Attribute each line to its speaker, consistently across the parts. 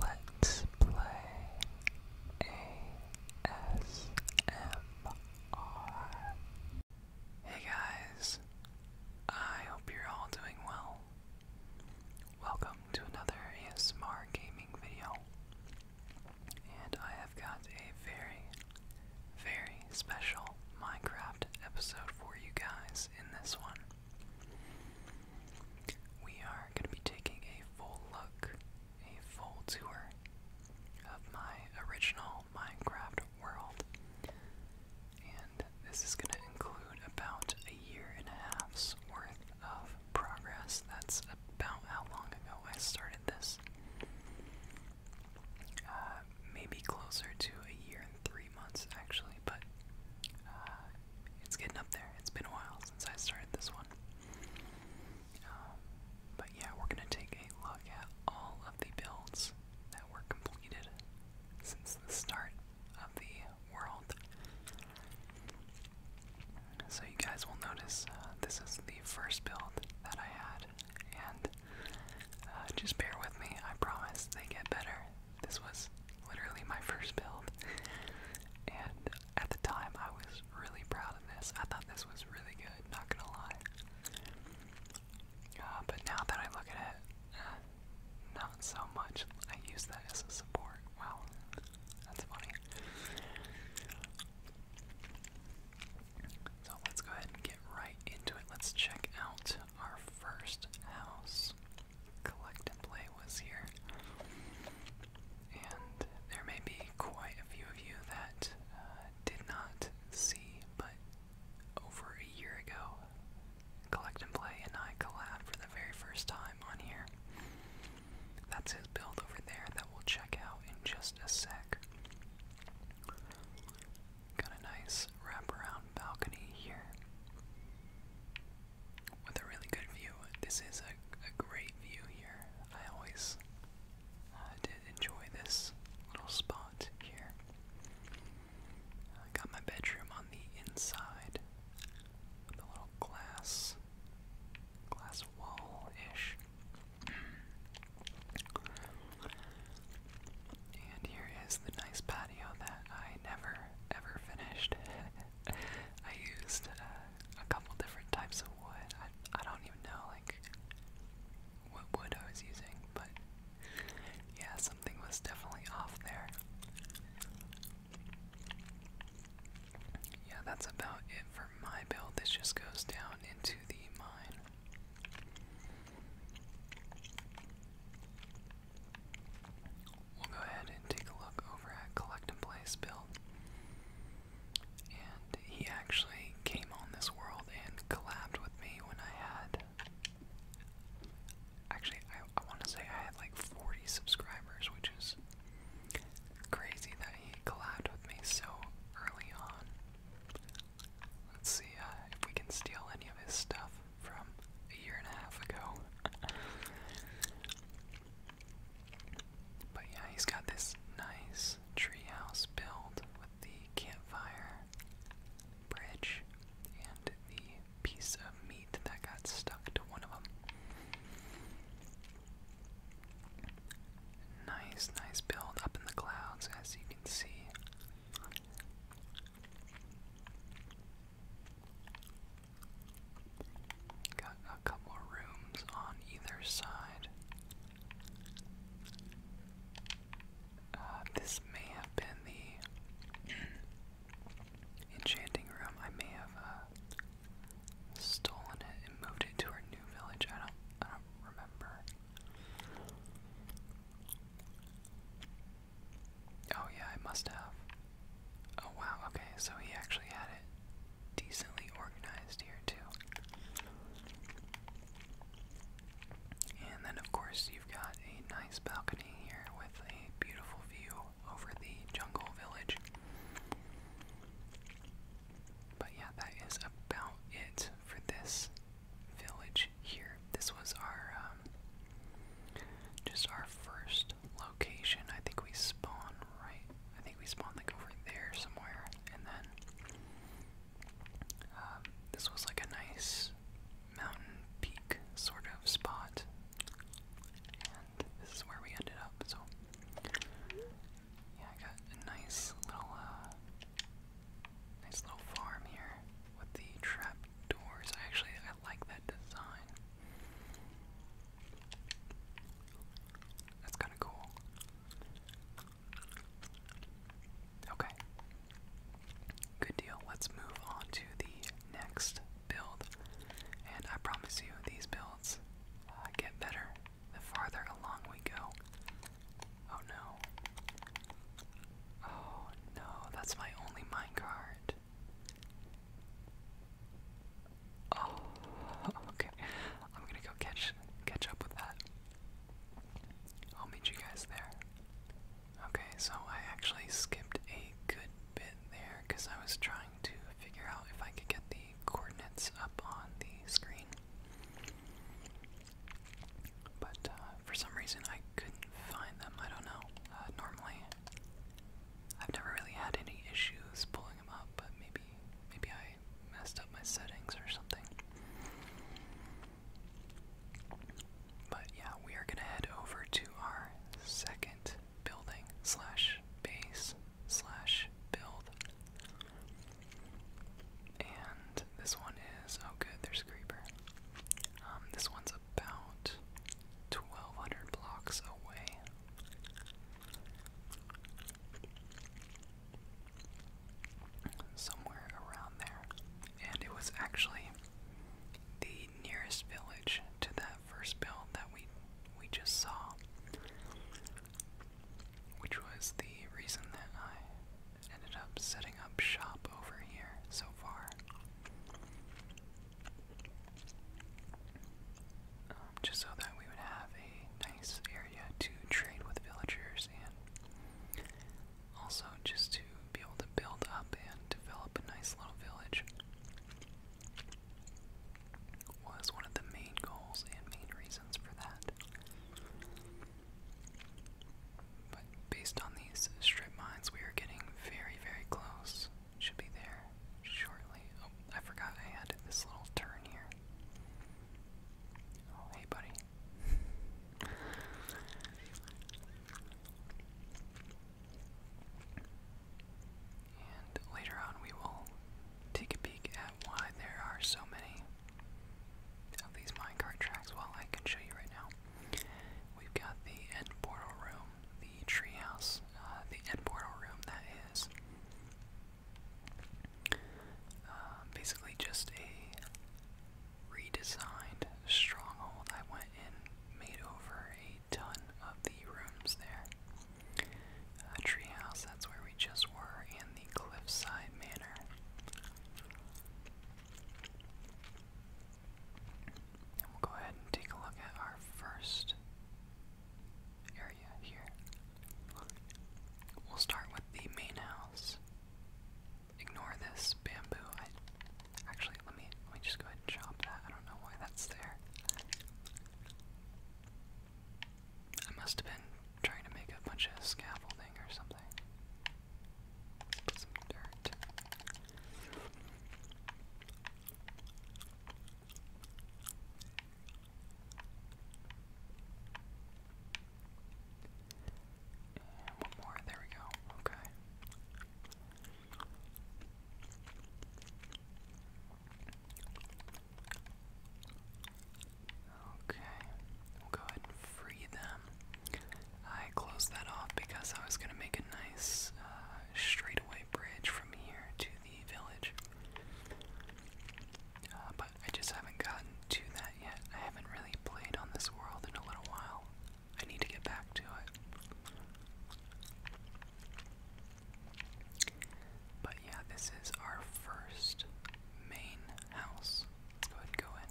Speaker 1: Let's play ASMR. Hey guys, I hope you're all doing well. Welcome to another ASMR gaming video. And I have got a very, very special Minecraft episode for you guys in this one. We are going to be taking a full look, a full tour of my original Minecraft world. And this is going to include about a year and a half's worth of progress. That's about how long ago I started this. Uh, maybe closer to a year and three months actually, but uh, it's getting up there. It's been a while since I started this one. Um, but yeah, we're gonna take a look at all of the builds that were completed since the start of the world. So you guys will notice uh, this is the first build that I had, and uh, just bear with me. I promise they get better. This was literally my first build, and at the time I was really proud of this. I thought this was really good, not gonna lie. Uh, but now that I look at it, uh, not so much. I use that as a support. Wow, that's funny. So let's go ahead and get right into it. Let's check out our first house collect and play was here. And there may be quite a few of you that uh, did not see, but over a year ago, Collect and Play and I collabed for the very first time on here. That's his build over there that we'll check out in just a sec. Got a nice wraparound balcony here with a really good view. This is a, a great view here. I always uh, did enjoy this little spot here. I got my bedroom on the inside with a little glass, glass wall-ish. And here is the nice patio that I never ever finished. I used uh, a couple different types of wood. I, I don't even know like what wood I was using, but yeah, something was definitely off there. Yeah, that's about it for my build. This just goes down into the mine. We'll go ahead and take a look over at Collect and Play's And he actually came on this world and collabed with me when I had. Actually, I, want to say I had like 40 subscribers, which is crazy that he collabed with me so early on. Let's see uh, if we can steal any of his stuff from a year and a half ago. but yeah, he's got this nice treehouse build with the campfire, bridge, and the piece of meat that got stuck to one of them. Nice, nice build up in the clouds as you can see. Got a couple rooms on either side. Uh, this may have been the enchanting room. I may have uh, stolen it and moved it to our new village. I don't, I don't remember. Oh, yeah, I must have. Oh, wow, okay, so he actually had it decently organized here, too. And then, of course, you've got a nice balcony here with a beautiful view over the jungle village. But yeah, that is about it for this village here. This was our um, just our first location. I think we spawn right. I think we spawned like over there somewhere, and then um, this was like a nice mountain peak sort of spot, and this is where we ended up. So yeah, I got a nice little. Uh, Nice little farm here with the trap doors. Actually, I like that design. That's kind of cool. Okay. Good deal. Let's move on to the next build. And I promise you, these builds uh, get better the farther along we go. Oh no. Oh no, that's my only minecart. Oh, okay. I'm gonna go catch catch up with that. I'll meet you guys there. Okay, so I actually skipped a good bit there because I was trying to figure out if I could get the coordinates up on the screen. But uh, for some reason I couldn't find them. I don't know. Uh, normally I've never really had any issues pulling them up, but maybe maybe I messed up my settings or something. But yeah, we are gonna head over to our second building slash base slash build. And this one is oh good, there's a creeper. Um, this one's about 1,200 blocks away. Somewhere around there. And it was actually the nearest village to that first build that we we just saw. Which was the reason that I ended up setting up shop over here so far. Um, just so that we would have a nice area to trade with villagers and also just to be able to build up and develop a nice little village was one of the main goals and main reasons for that. But based on these strip mines, we are getting very, very close. Should be there shortly. Oh, I forgot I had this little turn here. Oh, hey, buddy. And later on, we will take a peek at why there are so many of these minecart tracks. Well, I can show you right now. We've got the end portal room, the treehouse, uh, the end portal room that is uh, basically just a redesigned stronghold. I went and made over a ton of the rooms there. Uh, treehouse, that's where we just were, and the cliffside manor we'll go ahead and take a look at our first area here. We'll start with the main house. Ignore this bamboo. actually let me let me just go ahead and chop that. I don't know why that's there. I must have been trying to make a bunch of scaffolding or something. some dirt. And one more, there we go, okay. Okay, we'll go ahead and free them. I closed that off because I was going to make a nice uh, straightaway bridge from here to the village. Uh, but I just haven't gotten to that yet. I haven't really played on this world in a little while. I need to get back to it. But yeah, this is our first main house. go ahead go in.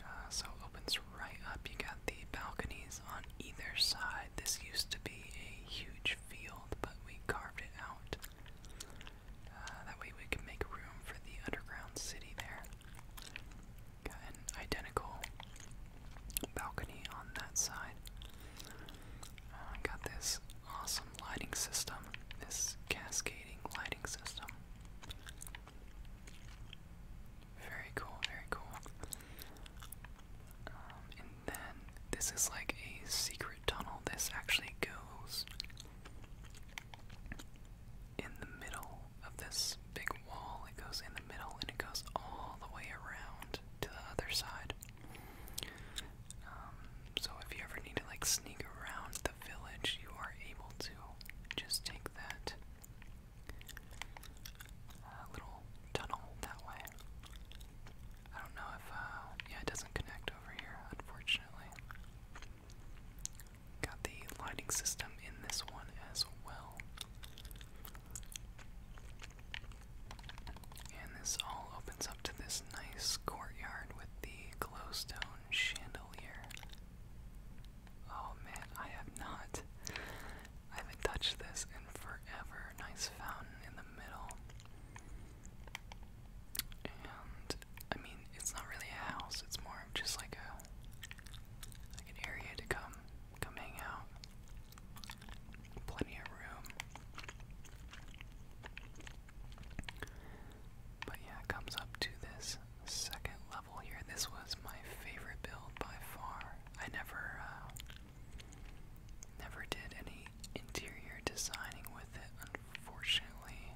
Speaker 1: Uh, so it opens right up. You got the balconies on either side. This used to be a huge field, but we carved it out. Uh, that way we can make room for the underground city there. Got an identical balcony on that side. Uh, got this awesome lighting system, this cascading lighting system. Very cool, very cool. Um, and then this is like a secret tunnel. This actually goes in the middle of this big wall. It goes in the middle and it goes all the way around to the other side. Um, so if you ever need to like sneak around village, you are able to just take that uh, little tunnel that way. I don't know if, uh, yeah, it doesn't connect over here, unfortunately. Got the lighting system in this one as well. And this all opens up to this nice courtyard with the glowstone chandelier. Oh man, I have not. I haven't touched this in forever. Nice fountain in the middle. And I mean, it's not really a house. It's more of just like a like an area to come come hang out. Plenty of room. But yeah, it comes up to this second level here. This was my favorite build by far. I never, uh, never did any interior designing with it, unfortunately.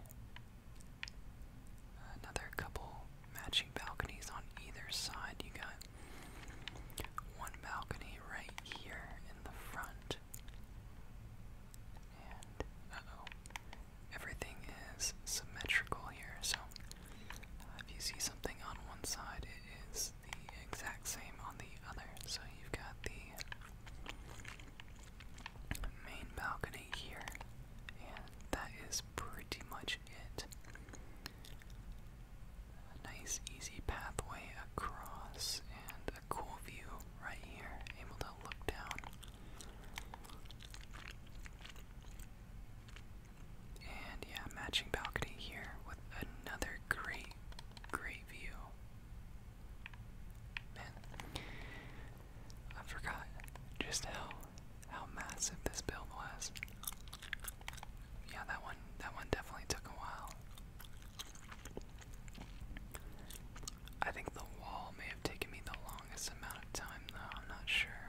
Speaker 1: Another couple matching balconies on either side. You got one balcony right here in the front. And, uh everything is symmetrical here. So uh, if you see something on one side, it is the exact same on the other. So you've got the main balcony here, and that is pretty much it. A nice easy pathway across and a cool view right here, able to look down and yeah, matching balcony here with another great, great view. Man, I forgot just how how massive this build was. Yeah, that one that one definitely took a while. I think the wall may have taken me the longest amount of time, though. I'm not sure.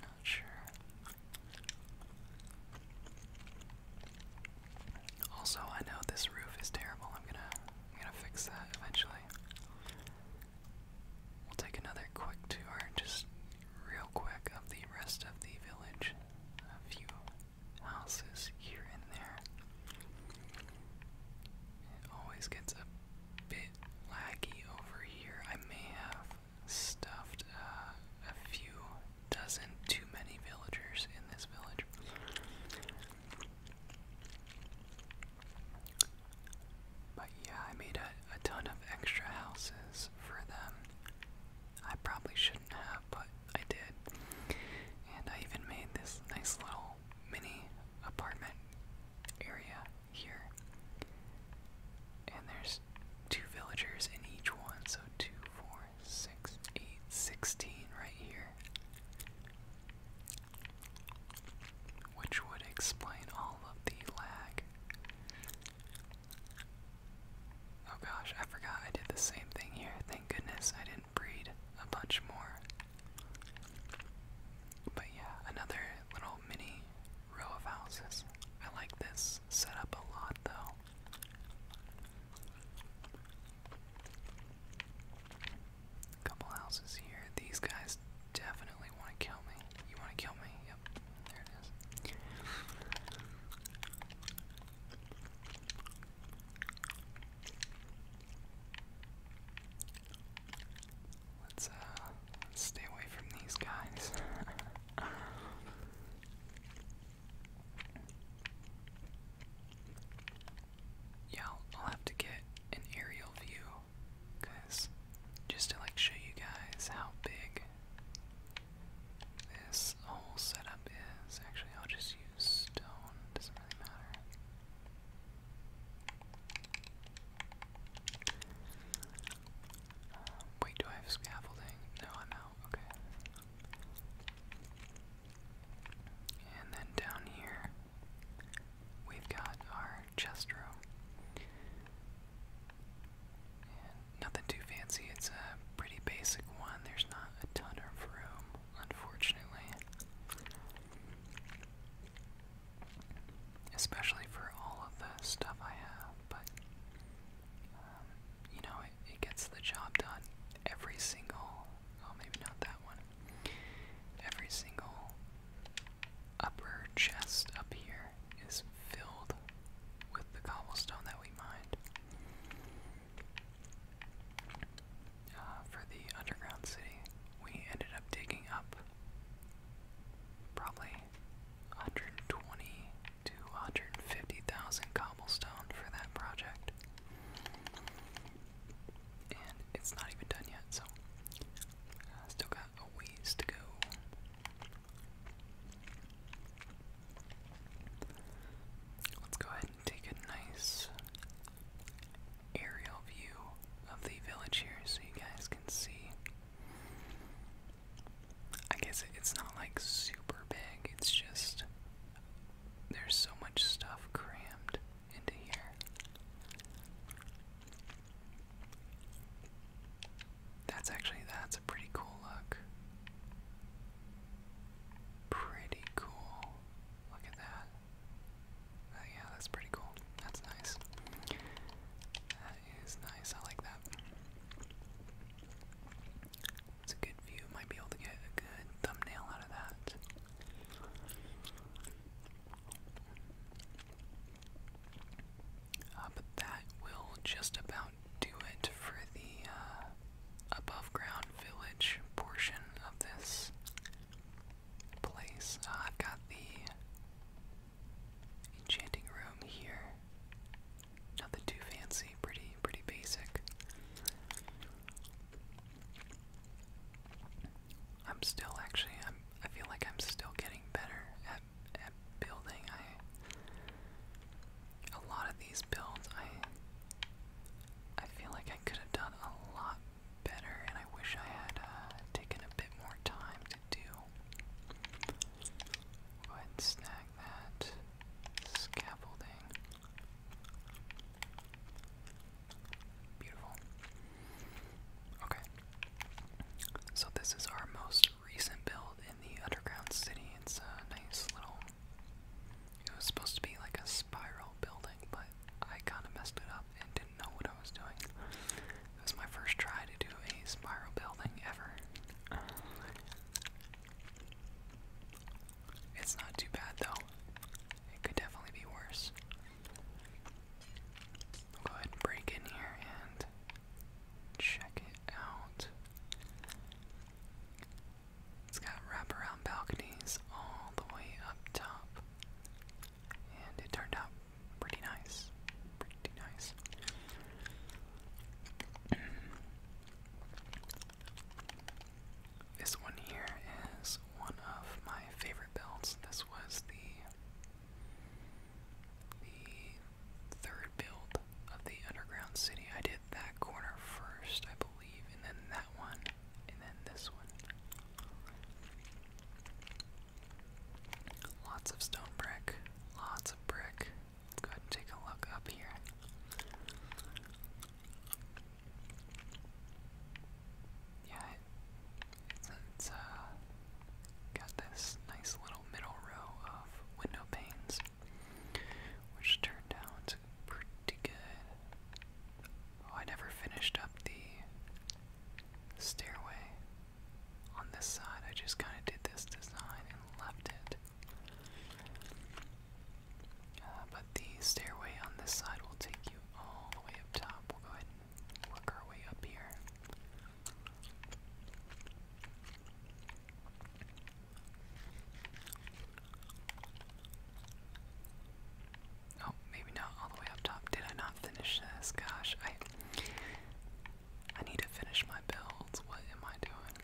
Speaker 1: Not sure. Also, I know this roof is terrible. I'm gonna, I'm gonna fix that eventually. We'll take another quick tour, just real quick, of the rest of the village. A few houses here and there. It always gets a bit laggy over here. I may have stuffed uh, a few dozen too many villagers in this village. But yeah, I made a ton of extra houses for them. I probably shouldn't have, but I did. And I even made this nice little mini apartment area here. And there's two villagers in each one, so two, four, six, eight, sixteen right here. Which would explain all of the lag. Oh gosh, I forgot I did the same thing here. Thank goodness I didn't breed a bunch more. But yeah, another little mini row of houses. I like this setup a lot though. Couple houses here. These guys definitely want to kill me. You want to kill me? Yep. There it is. Let's uh stay away from these guys. yeah, I'll have to get an aerial view cuz just to like show you guys how big this whole setup is. Actually, I'll just use stone. Doesn't really matter. Um, wait, do I have scaffolding? No, I'm out. Okay. And then down here, we've got our chest room. nothing too fancy. It's a pretty basic one. There's not a ton of room, unfortunately. Especially for all of the stuff I have, but um, you know, it, it gets the job done. Every single, oh, maybe not that one. Every single upper chest up here is filled with the cobblestone that we mined. Uh, for the underground city, we ended up digging up probably 120 to 150,000 cobblestone for that project. And it's not even done yet, so uh, still got a ways to go. Let's go ahead and take a nice aerial view of the village here so you guys can see. I guess it's not like super big, it's just there's so much stuff crammed into here. That's actually that's a pretty cool look. Pretty cool. Look at that. Oh, yeah, that's pretty cool. That's nice. That is nice. I like that. It's a good view. Might be able to get a good thumbnail out of that. Uh, but that will just about do it for the uh, above ground village portion of this place. Uh, I've got the enchanting room here. Nothing too fancy, pretty pretty basic. I'm still actually I'm I feel like I'm still getting better at at building. I a lot of these builds I I feel like I could have done a lot better, and I wish I had uh, taken a bit more time to do. go ahead and snag that scaffolding. Beautiful. Okay. So this is our most recent build in the underground city. It's a nice little. It was supposed to be like a spiral building but I kind of messed it up and didn't know what I was doing. It was my first try to do a spiral building ever. It's not too bad though. It could definitely be worse. go ahead break in here and check it out. It's got wraparound balconies all the way up top. And it turned out pretty nice. Pretty nice. this one here is one of my favorite builds. This was the the third build of the underground city. I did that corner first, I believe, and then that one and then this one. Lots of stone brick, lots of brick. go ahead and take a look up here. Yeah, it, it's, uh, got this nice little middle row of window panes, which turned out pretty good. Oh, I never finished up the stairway on this side. I just kind of did this design and left it. Uh, but the stairway on this side will take you all the way up top. We'll go ahead work our way up here. Oh, maybe not all the way up top. Did I not finish this? Gosh, I I need to finish my builds. What am I doing?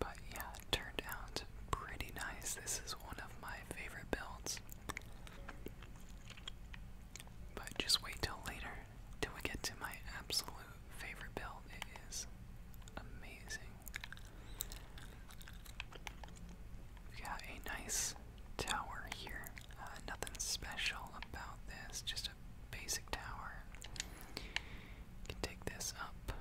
Speaker 1: but yeah, turned out pretty nice. This is one of my favorite builds. But just wait till later till we get to my absolute favorite build. It is amazing. We got a nice tower here. Uh, nothing special about this, just a basic tower. can take this up.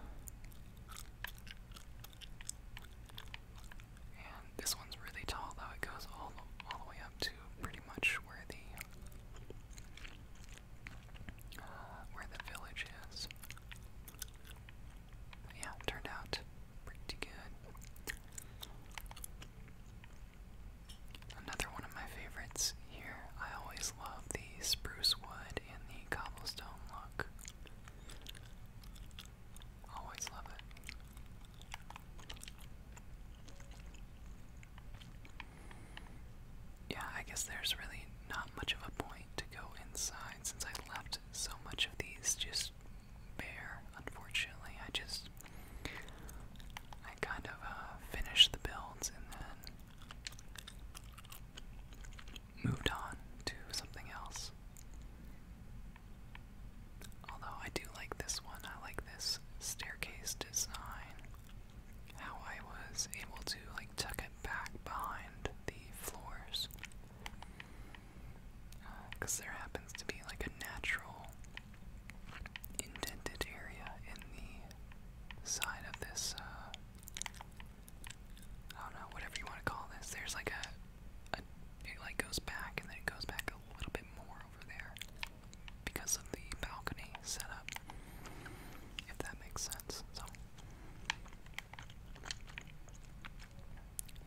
Speaker 1: And this one's really tall, though. It goes all the way up to pretty much where the where the village is. yeah, turned out pretty good. Another one of my favorites here. I always love the spruce wood and the cobblestone look. Always love it. Yeah, I guess there's really not much of a point to go inside since I left so much of these just bare, unfortunately. I just. I kind of uh, finished the builds and then moved on to something else. Although I do like this one, I like this staircase design how I was able to like tuck it back behind the floors. Because uh, there happens to be like a natural indented area in the side of this, uh, I don't know, whatever you want to call this. There's like a, a, it like goes back and then it goes back a little bit more over there because of the balcony setup, if that makes sense. So,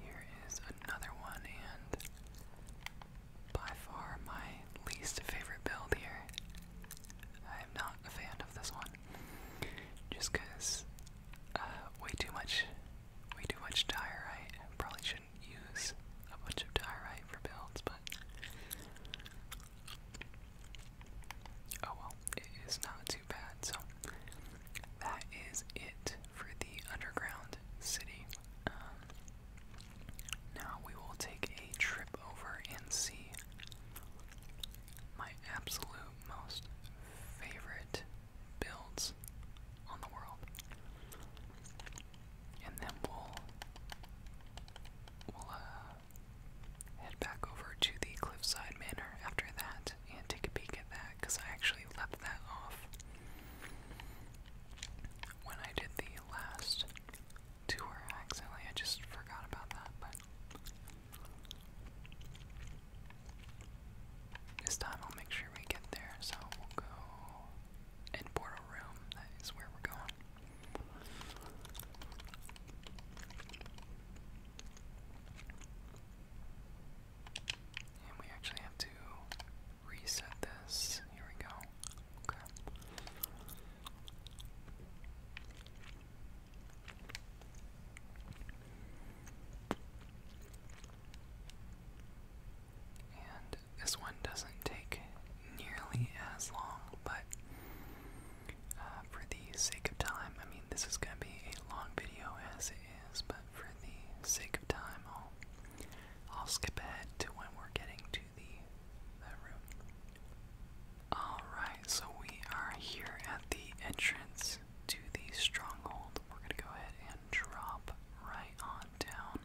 Speaker 1: here is another one, and by far my least favorite build here. I am not a fan of this one, just because uh, way too much, way too much diorite. Probably should use a bunch of diorite for builds, but oh well, it is not too bad. So that is it for the underground city. Um, now we will take a trip over and see my absolute most favorite builds on the world and then we'll uh, head back over to the Cliffside Manor after that and take a peek at that because I actually left that off when I did the last tour accidentally. I just forgot about that, but. This time I'll make sure we get there, so we'll go and board room. That is where we're going. And we actually have to reset this. Here we go. Okay. And this one doesn't take nearly as long, but uh, for the sake of time, I mean, this is going to be a long video as it is, but for the sake of time, I'll, I'll skip ahead to when we're getting to the, the room. Alright, so we are here at the entrance to the stronghold. We're going to go ahead and drop right on down.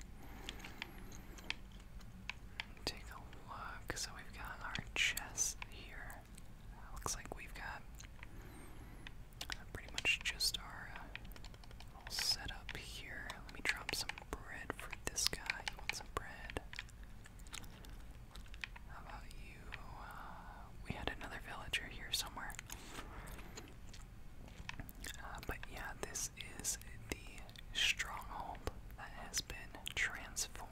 Speaker 1: Take a look. So we've got our chest here. looks like we've got uh, pretty much just our uh, little here. Let me drop some bread for this guy. You want some bread? How about you? Uh, we had another villager here somewhere. Uh, but yeah, this is the stronghold that has been transformed.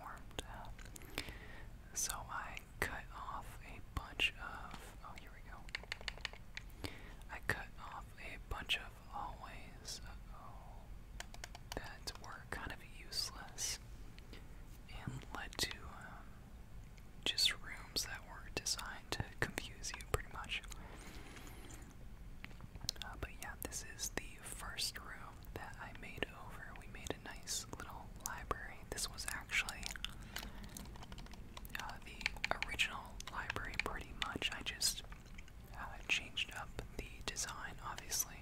Speaker 1: So I cut off a bunch of. Oh, here we go. I cut off a bunch of hallways. That were kind of useless and led to um, just rooms that were designed to confuse you pretty much. Uh, but yeah, this is the first room that I made over. We made a nice little library. This was actually uh, the original library, pretty much. I just uh, changed up the design, obviously.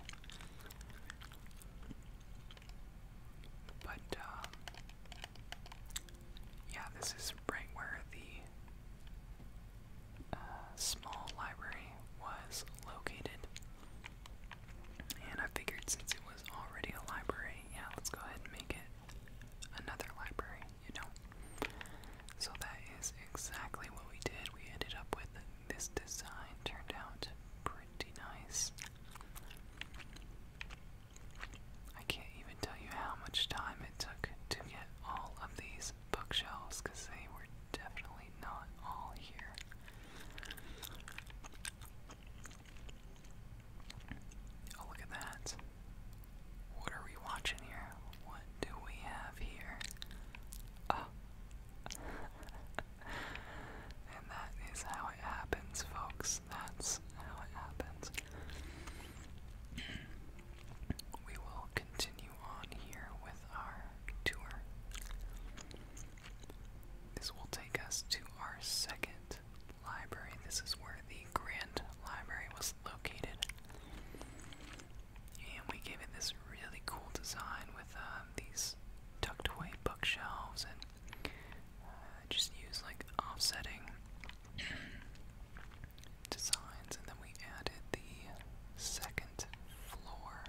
Speaker 1: But, yeah, this is right where the uh, small library was located. And I figured since it was already a library, yeah, let's go ahead and make it another library, you know? So that is exactly what we did. We ended up with this design, turned out pretty nice. I can't even tell you how much time it took to get all of these bookshelves because they were definitely not all here. Oh, look at that. What are we watching here? What do we have here? Ah. and that is how it happens, folks. That's how it happens we will continue on here with our tour. This will take us to our second library. This is where the Grand Library was located. And we gave it this really cool design with um, these tucked away bookshelves and uh, just use like offsetting designs, and then we added the second floor.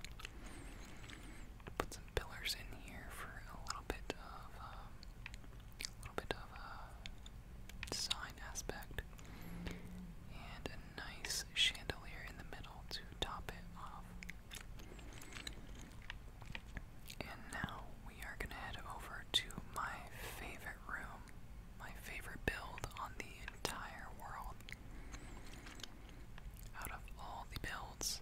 Speaker 1: Put some pillars in here for a little bit of um, a little bit of a uh, design aspect, and a nice chandelier in the middle to top it off. And now we are gonna head over to my favorite room, my favorite build on the entire world. Out of all the builds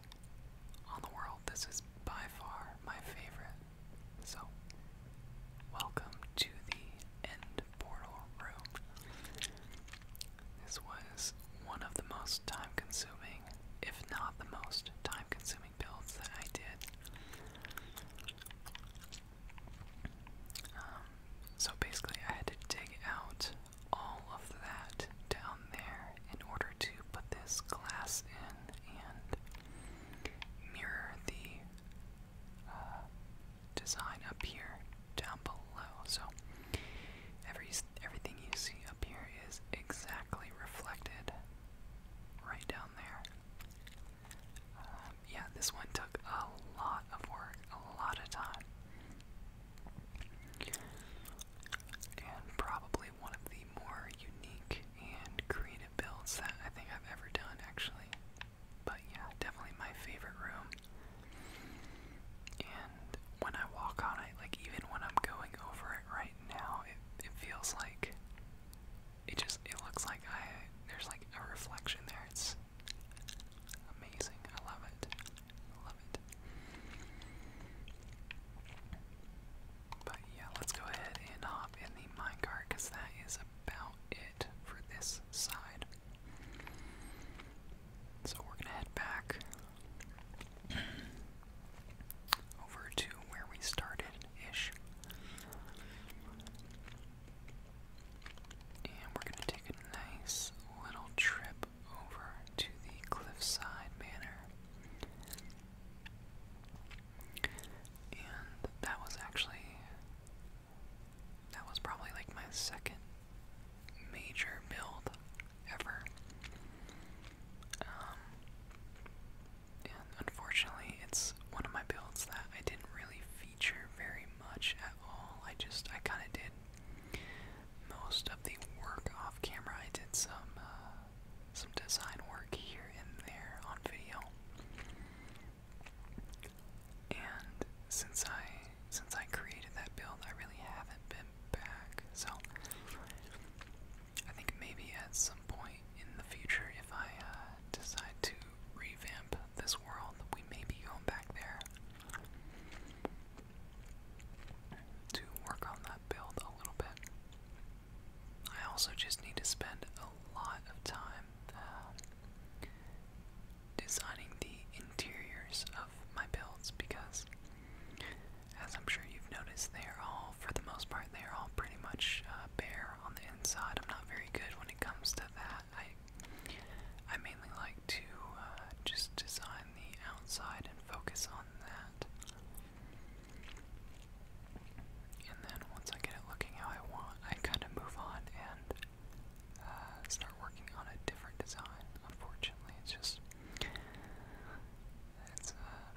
Speaker 1: on the world, this is by far my favorite. So, welcome to the End Portal Room. This was one of the most time consuming, if not the most time consuming builds that I did. Um, so basically, I had to dig out all of that down there in order to put this glass in and mirror the uh, design up here down below. So every everything you see up here is exactly reflected right down there. Um, yeah, this one took a lot of work, a lot of time. And probably one of the more unique and creative builds that I think I've ever done, actually. But yeah, definitely my favorite room. And when I walk on it, like even when I'm going over it right now, it, it feels like it just it looks like I there's like a reflection there. It's amazing. I love it. I love it. But yeah, let's go ahead and hop in the minecart because that is about it for this side. So we're gonna head back over to where we started ish. And we're going to take a nice little trip over to the Cliffside Manor. And that was actually, that was probably like my second major build ever. Um, and unfortunately, it's one of my builds that I didn't really feature very much at all. I just, I kind of did most of the work off camera. I did some, uh, some design work here and there on video. And since I, since I created that build, I really haven't been back. So I think maybe at some point in the future, if I uh, decide to revamp this world. We may be going back there to work on that build a little bit. I also just need to spend a lot of time uh, designing the interiors of my builds because, as I'm sure you've noticed, they are all, for the most part, they are all pretty much uh, bare on the inside. I'm not very good when it comes to than that, I I mainly like to uh, just design the outside and focus on that. And then once I get it looking how I want, I kind of move on and uh, start working on a different design. Unfortunately, it's just it's uh,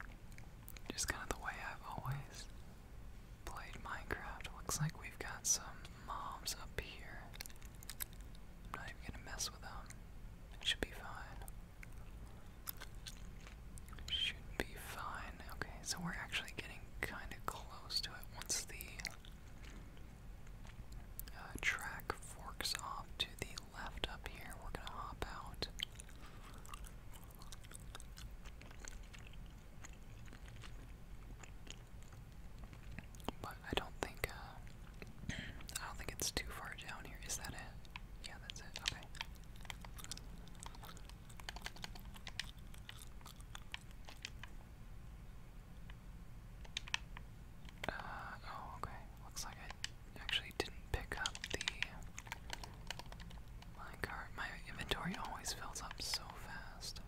Speaker 1: just kind of the way I've always played Minecraft. Looks like we've got some mobs up here. not even gonna mess with them. should be fine. should be fine. Okay, so we're actually getting kind of close to it once the uh, track forks off to the left up here. We're gonna hop out. But I don't think uh, I don't think it's too far down here. Is that it? Yeah, that's it. Okay. Uh, oh, okay. Looks like I actually didn't pick up the my cart, my inventory always fills up so fast.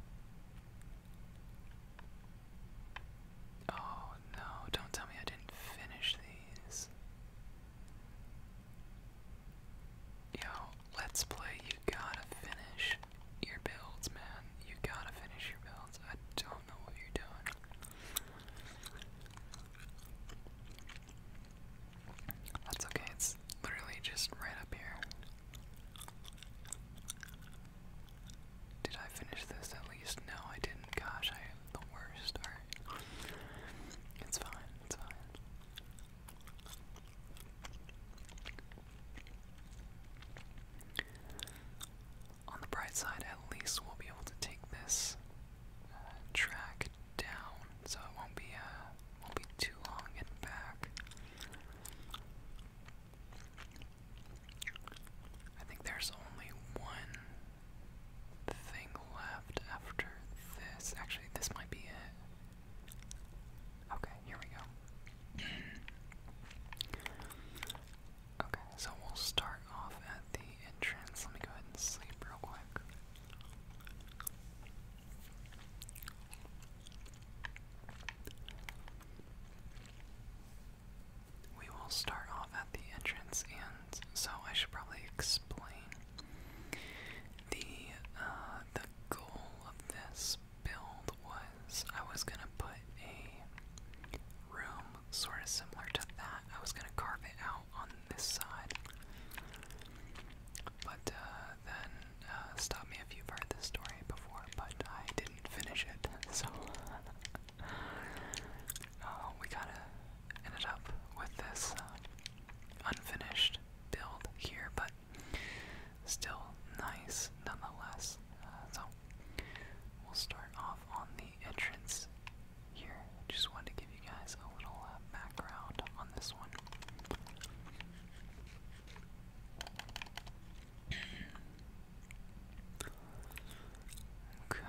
Speaker 1: Oh no, don't tell me I didn't finish these. Yo, let's play, you gotta finish your builds, man. You gotta finish your builds. I don't know what you're doing. That's okay, it's literally just right up here. Did I finish this at least? No, I didn't. Gosh, I am the worst. It's fine, it's fine. On the bright side, at least we'll be able to take this uh, track down so it won't be uh won't be too long in back. I think there's only one thing left after this. Actually, this might be it. Okay, here we go. okay, so we'll start off at the entrance. Let me go ahead sleep real quick. We will start off at the entrance, and so I should probably explain the uh, the goal of this build was I was gonna put a room sort of similar to that. I was gonna carve it out on this side, but uh, then uh, stop me if you've heard this story before, but I didn't finish it, so uh, we kind of ended up with this uh, unfinished build here, but still nice nonetheless. so we'll start off on the entrance here. Just wanted to give you guys a little background on this one. Okay.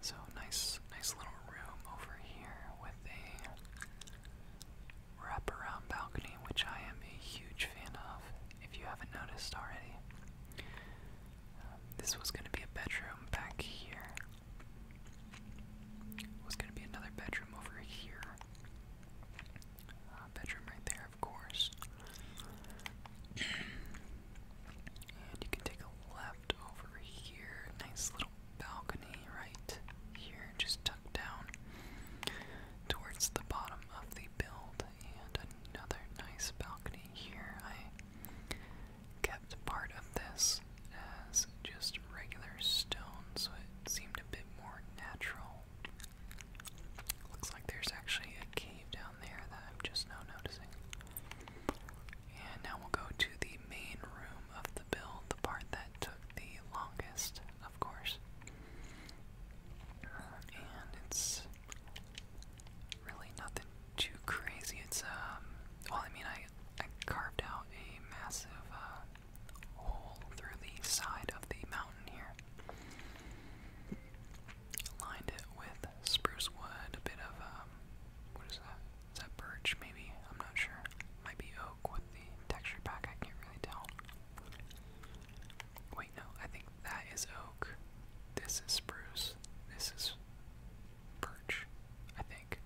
Speaker 1: So nice, nice little room over here with a wraparound balcony, which I am a huge fan of. If you haven't noticed already, uh, this was going to be a bedroom back here, was going to be another bedroom over here. Uh, bedroom right there, of course. and you can take a left over here. Nice little balcony right here, just tucked down towards the bottom of the build. And another nice balcony here. I kept part of this this as just regular stone, so it seemed a bit more natural. Looks like there's actually a cave down there that I'm just now noticing. And now we'll go to the main room of the build, the part that took the longest, of course. And it's really nothing too crazy. It's, um, well, I mean, I, I carved out a massive, uh, hole through the side of the mountain here. Lined it with spruce wood, a bit of, um, what is that? Is that birch, maybe? I'm not sure. Might be oak with the texture pack, I can't really tell. Wait, no, I think that is oak. This is spruce. This is birch, I think.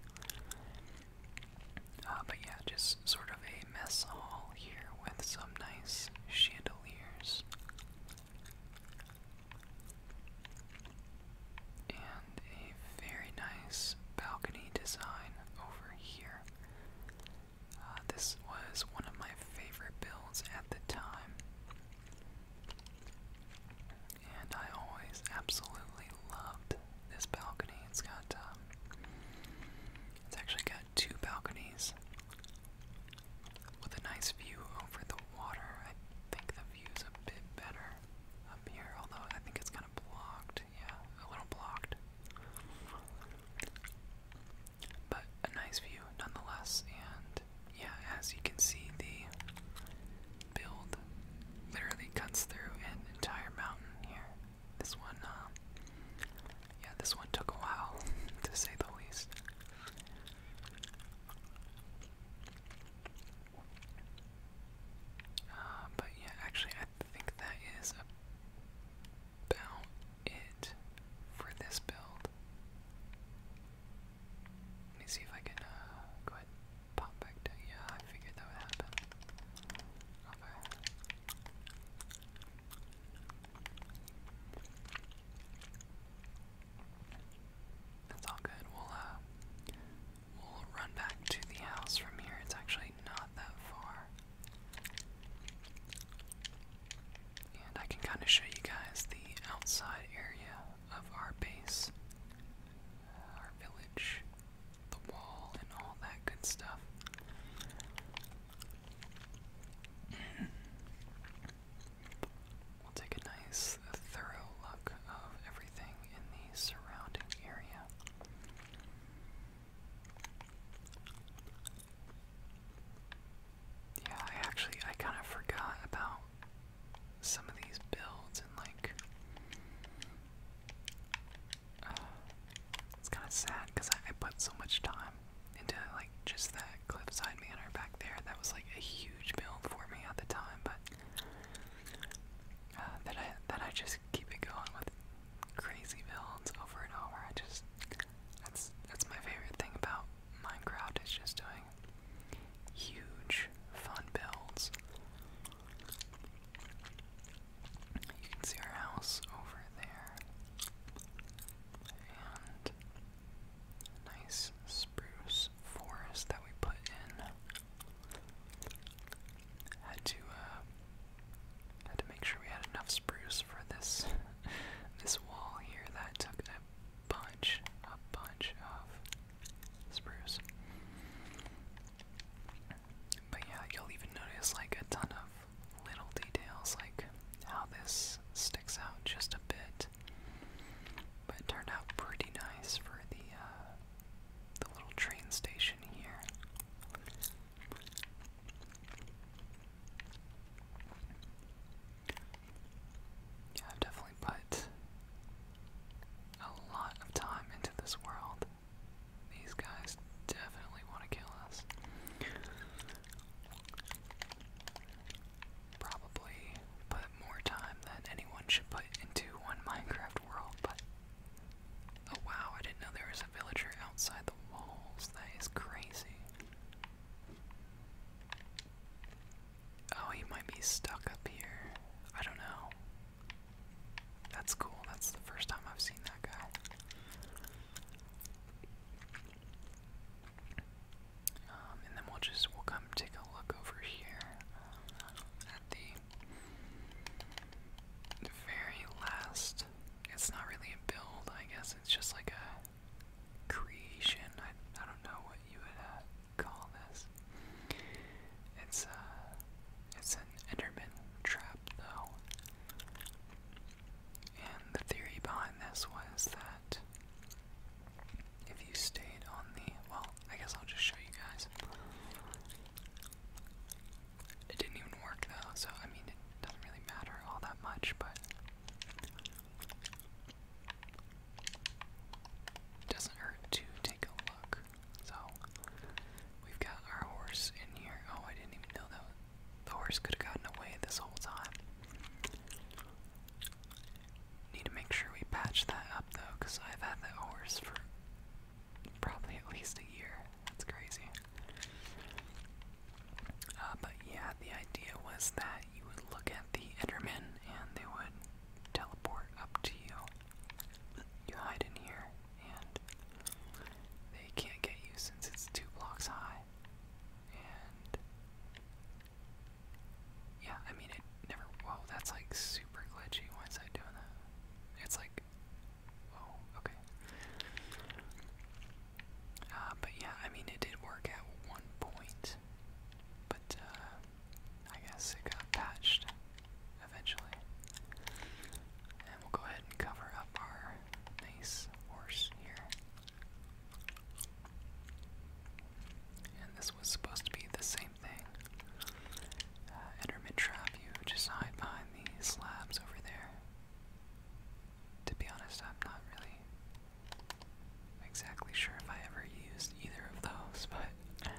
Speaker 1: Uh, but yeah, just sort of a mess hall here with some nice chandeliers. And a very nice balcony design over here. Uh, this was one of my favorite builds at the time. And I always absolutely loved this balcony. It's got, um, it's actually got two balconies with a nice view over the water. I think the view's a bit better up here, although I think it's kind of blocked. Yeah, a little blocked. But a nice view nonetheless, and yeah, as you can see, the build literally cuts through an entire mountain here. This one, um, yeah, this one took a while, to say the least. Uh, but yeah, actually, I think that is about it for this build. Let me see if I can uh, go ahead Pop Yeah, I figured that would happen. Okay. That's all good. We'll uh we'll run back to the house from here. It's actually not that far. And I can kind of show you guys the outside area of our base, uh, our village the wall and all that good stuff. We'll take a nice, thorough look of everything in the surrounding area. Yeah, I actually, I kind of forgot about some of these builds and like it's kind of sad because I, put so much time into like just that cliffside manor back there. That was like a huge build for me at the time, but uh, that I that I just keep it going with crazy builds over and over. I just that's that's my favorite thing about Minecraft is just doing huge fun builds you can see our house over there. And nice spruce forest that we put in. Had to uh, had to make sure we had enough spruce for this this wall here that took a bunch, a bunch of spruce. But yeah, you'll even notice like a ton of little details, like how this sticks out just a bit. But it turned out pretty nice for the uh, the little train station here. Yeah, I've definitely put a lot of time into this world. These guys definitely want to kill us. Probably put more time than anyone should put into one Minecraft world, but. Oh wow, I didn't know there was a villager outside the walls. That is crazy. Oh, he might be stuck up here. I don't know. That's cool. That's the first time I've seen that guy. Um, and then we'll just we'll come take a look over here um, at the very last. It's not really a build, I guess. It's just like a creation. I I don't know what you would uh, call this. It's uh it's an Enderman trap though. And the theory behind this was that if you stayed on the well, I guess I'll just show you guys. It didn't even work though, so I mean it doesn't really matter all that much, but it doesn't hurt to take a look. So we've got our horse in here. Oh, I didn't even know that the horse could have gotten away this whole time. Need to make sure we patch that up though, because I've had the horse for probably at least a year. That's crazy. Uh, but yeah, the idea was that you would look at the Endermen and they would teleport up to you you hide in here and they can't get you since it's two blocks high. And yeah, I mean it never whoa, that's like super glitchy. Why is I doing that? It's like whoa, okay. Uh, but yeah, I mean it did work at one point. But uh, I guess it got patched eventually. And we'll go ahead and cover up our nice horse here. And this was supposed to be the same thing. Uh, Enderman trap, you just hide behind these slabs over there. To be honest, I'm not really exactly sure if I ever used either of those, but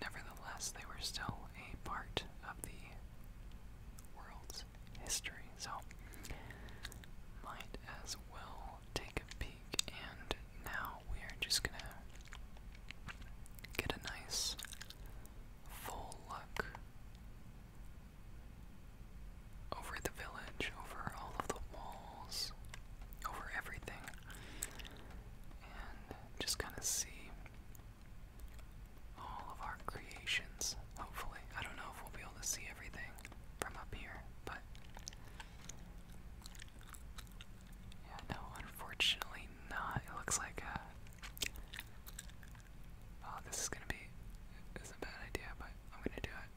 Speaker 1: Nevertheless, they were still a part of the world's history, so might as well take a peek. And now we are just gonna get a nice full look over the village, over all of the walls, over everything and just kind of see all of our creations, hopefully. I don't know if we'll be able to see everything from up here, but no, unfortunately not. It looks like uh, Oh, this is gonna be. It's a bad idea, but I'm gonna do it.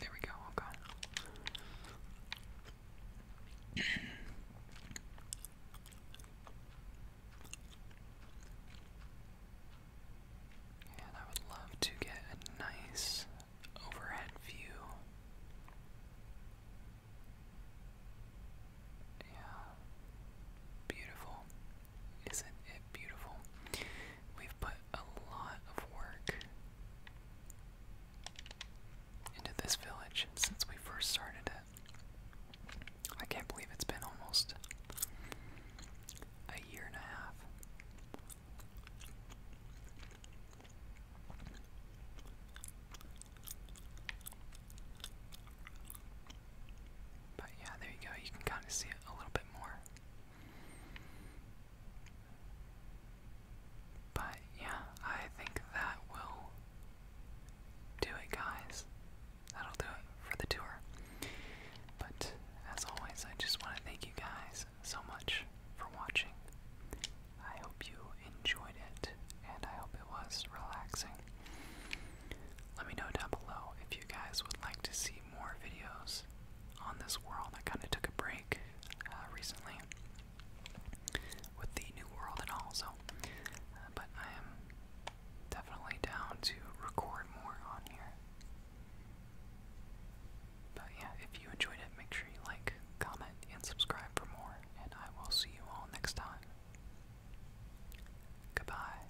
Speaker 1: There we go, okay. And I would love to get a nice overhead view. Yeah. Beautiful. Isn't it beautiful? We've put a lot of work into this village since we first started it. I can't believe it's been almost a year and a half. But yeah, there you go. You can kind of see it a little bit more. But yeah, I think that will do it, guys. That'll do it for the tour. But as always, I just want to thank you guys so much for watching. I hope you enjoyed it, and I hope it was relaxing. Let me know down below if you guys would like to see more videos on this world. I kind of took a break uh, recently with the new world and all, so. Uh, but I am definitely down to record more on here. But yeah, if you enjoyed it, make sure you like, comment, and subscribe for more, and I will see you all next time. Goodbye.